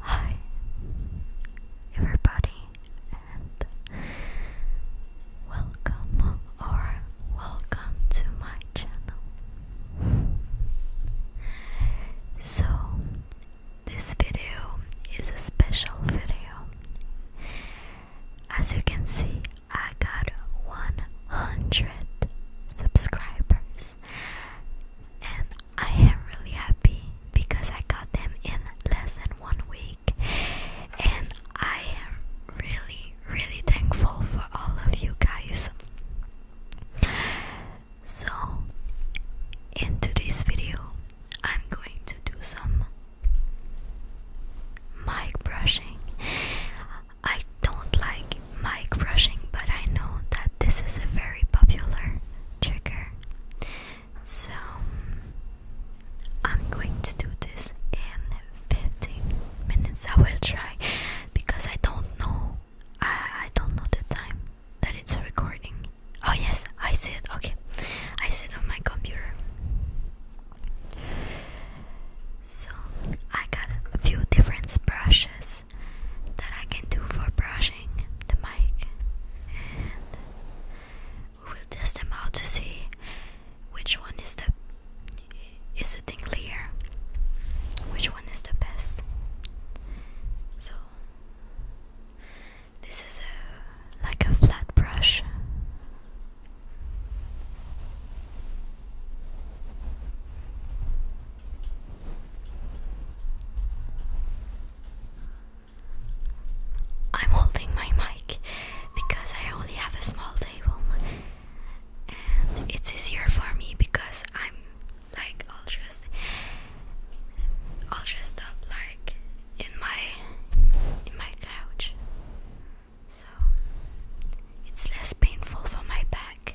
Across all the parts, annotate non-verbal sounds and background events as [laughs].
Hi, everybody, and welcome or welcome to my channel. So, this video is a special video. As you can see, I got 100 subscribers, and I am really happy because I got them in less than one week, and I am really, really thankful for all of you guys. So, in today's video, I'm going to do some Mic brushing. I don't like mic brushing, but I know that this is a very popular trigger. So I'm going to do this in 15 minutes. I will try because I don't know. I, I don't know the time that it's recording. Oh, yes, I see it. Okay, I see it on my computer. So I got a few different brushes that I can do for brushing the mic and we will test them out to see which one is the is it clear which one is the best so this is a like a flat brush. I'm holding my mic because I only have a small table and it's easier for me because I'm like I'll just all dressed up like in my in my couch so it's less painful for my back.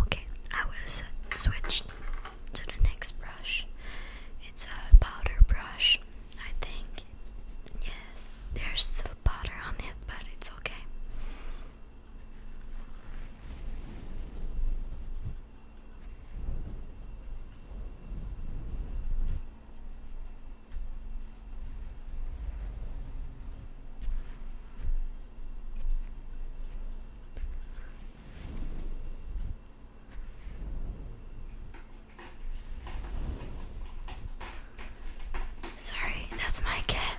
Okay, I will switch to the next brush. It's a powder brush, I think. Yes, there's still powder on it, but it's okay. Sorry, that's my cat.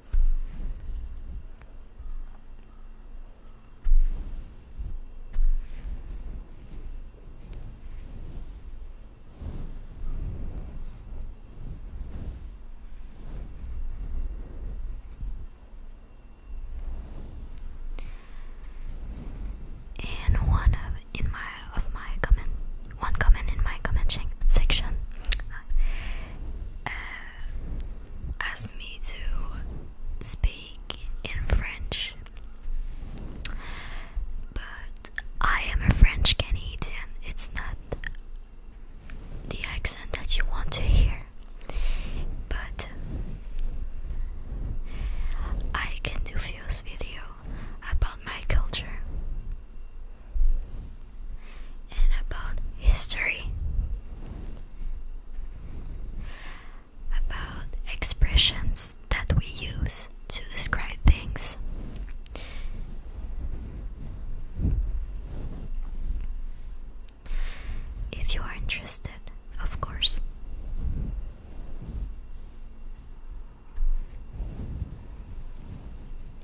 In one of in my of my comment one comment in my comment section uh, asked me to speak in French, but I am a French Canadian, it's not the accent that you want to hear, but I can do feels video about my culture and about history, about expressions that we use to describe things. If you are interested, of course.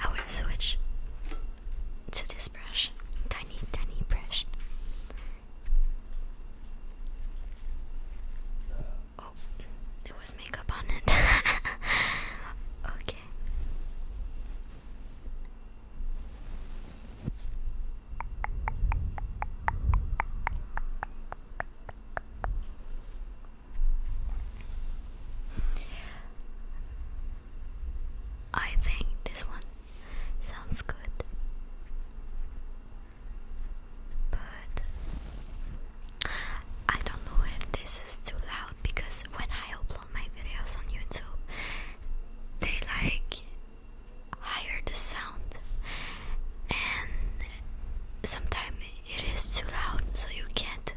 I will switch to this brush, tiny, tiny brush. Oh, there was makeup on it. [laughs] okay. I think this one sounds good, but I don't know if this is too loud because when I upload my videos on YouTube, they like higher the sound and sometimes it is too loud so you can't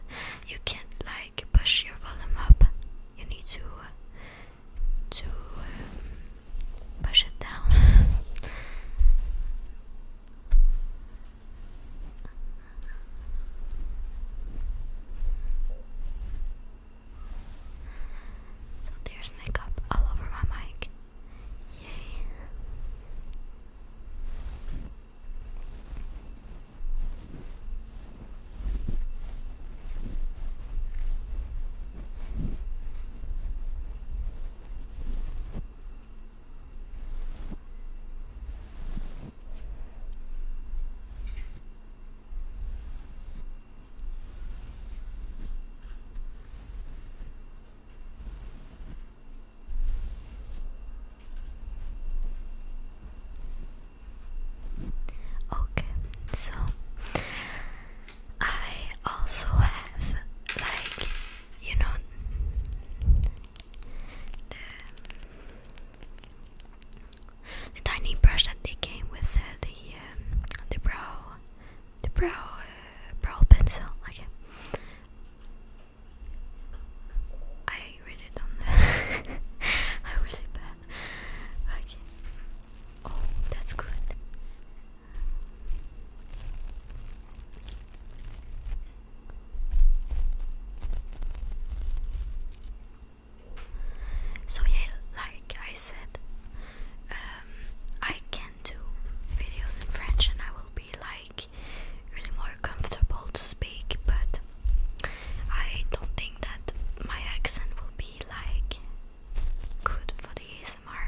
you can't like push your volume up you need to to um, push it down so there's makeup all over my mic. Yay. Okay, so I also have like you know the the tiny brush that they came with uh, the um, the brow the brow uh, brow pencil okay I read it on I really bad okay oh that's good so yeah, like I said, um, I can do videos in French, and I will be like really more comfortable to speak. But I don't think that my accent will be like good for the ASMR.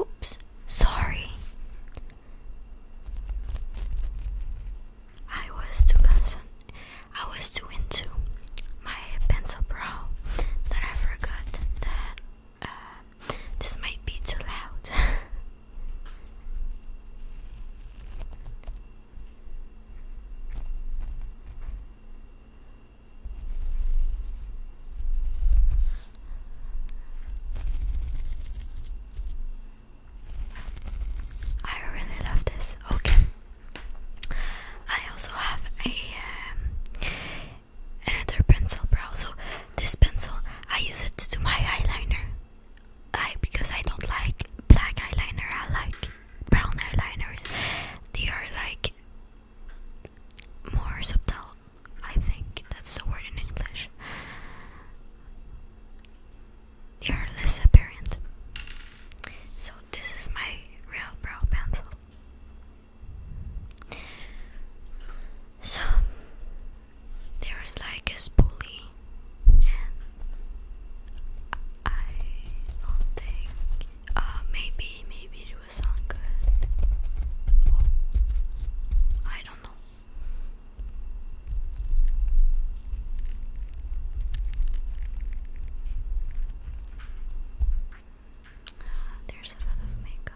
Oops, sorry. I was too concerned. I was too into my pencil brow that I forgot that um, this might be too loud. [laughs] I really love this. Okay. I also have a um, another pencil brow. So this pencil, I use it to my eyeliner. I because I don't like black eyeliner. I like brown eyeliners. They are like more subtle. I think that's the word in English. They are less apparent. So this is my real brow pencil. So there is like a spoolie, I don't think. Uh, maybe, maybe it was sound good. I don't know. Uh, there's a lot of makeup.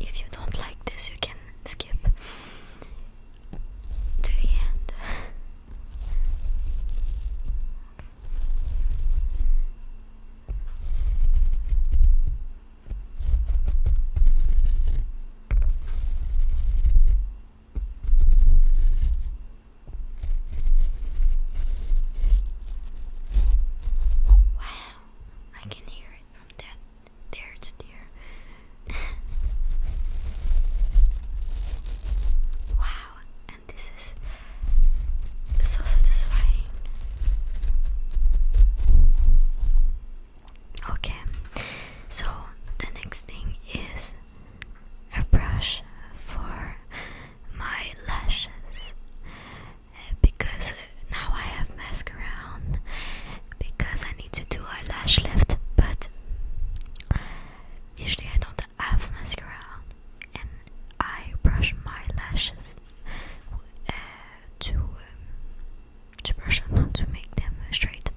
If you don't like this, you can skip to the end. Wow, I can hear it from that there to there. [laughs] wow, and this is so satisfying. Okay, so the next thing is a brush for my lashes uh, because now I have mascara on because I need to do a lash lift but usually I don't have mascara on and I brush my lashes uh, to um, to brush them on to make them straight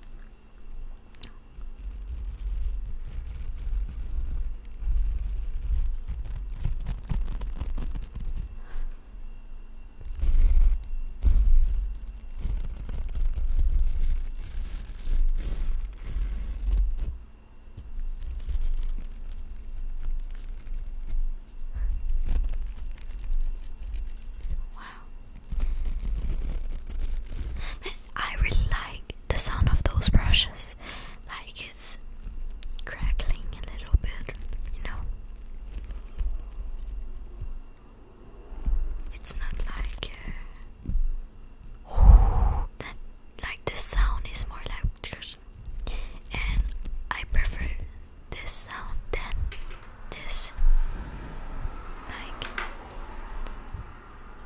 Wow. I really like the sound of those brushes like it's crackling a little bit, you know. It's not like ooh, uh, that, like the sound is more like and I prefer this sound than this like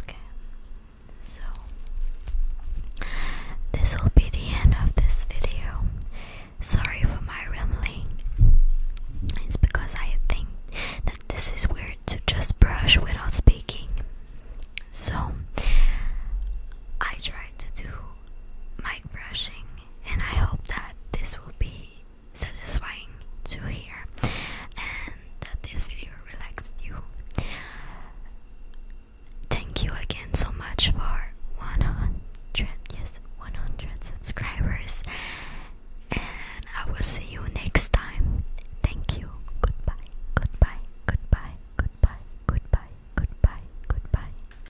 Okay, so this will be the end of this video. Sorry for my rambling, it's because I think that this is weird to just brush without speaking. So I try to do mic brushing and I hope that this will be satisfying to hear and that this video relaxed you. Thank you again so much for 100 yes 100 subscribers and I will see you next time. Thank you. Goodbye. Goodbye. Goodbye. Goodbye. Goodbye. Goodbye. Goodbye.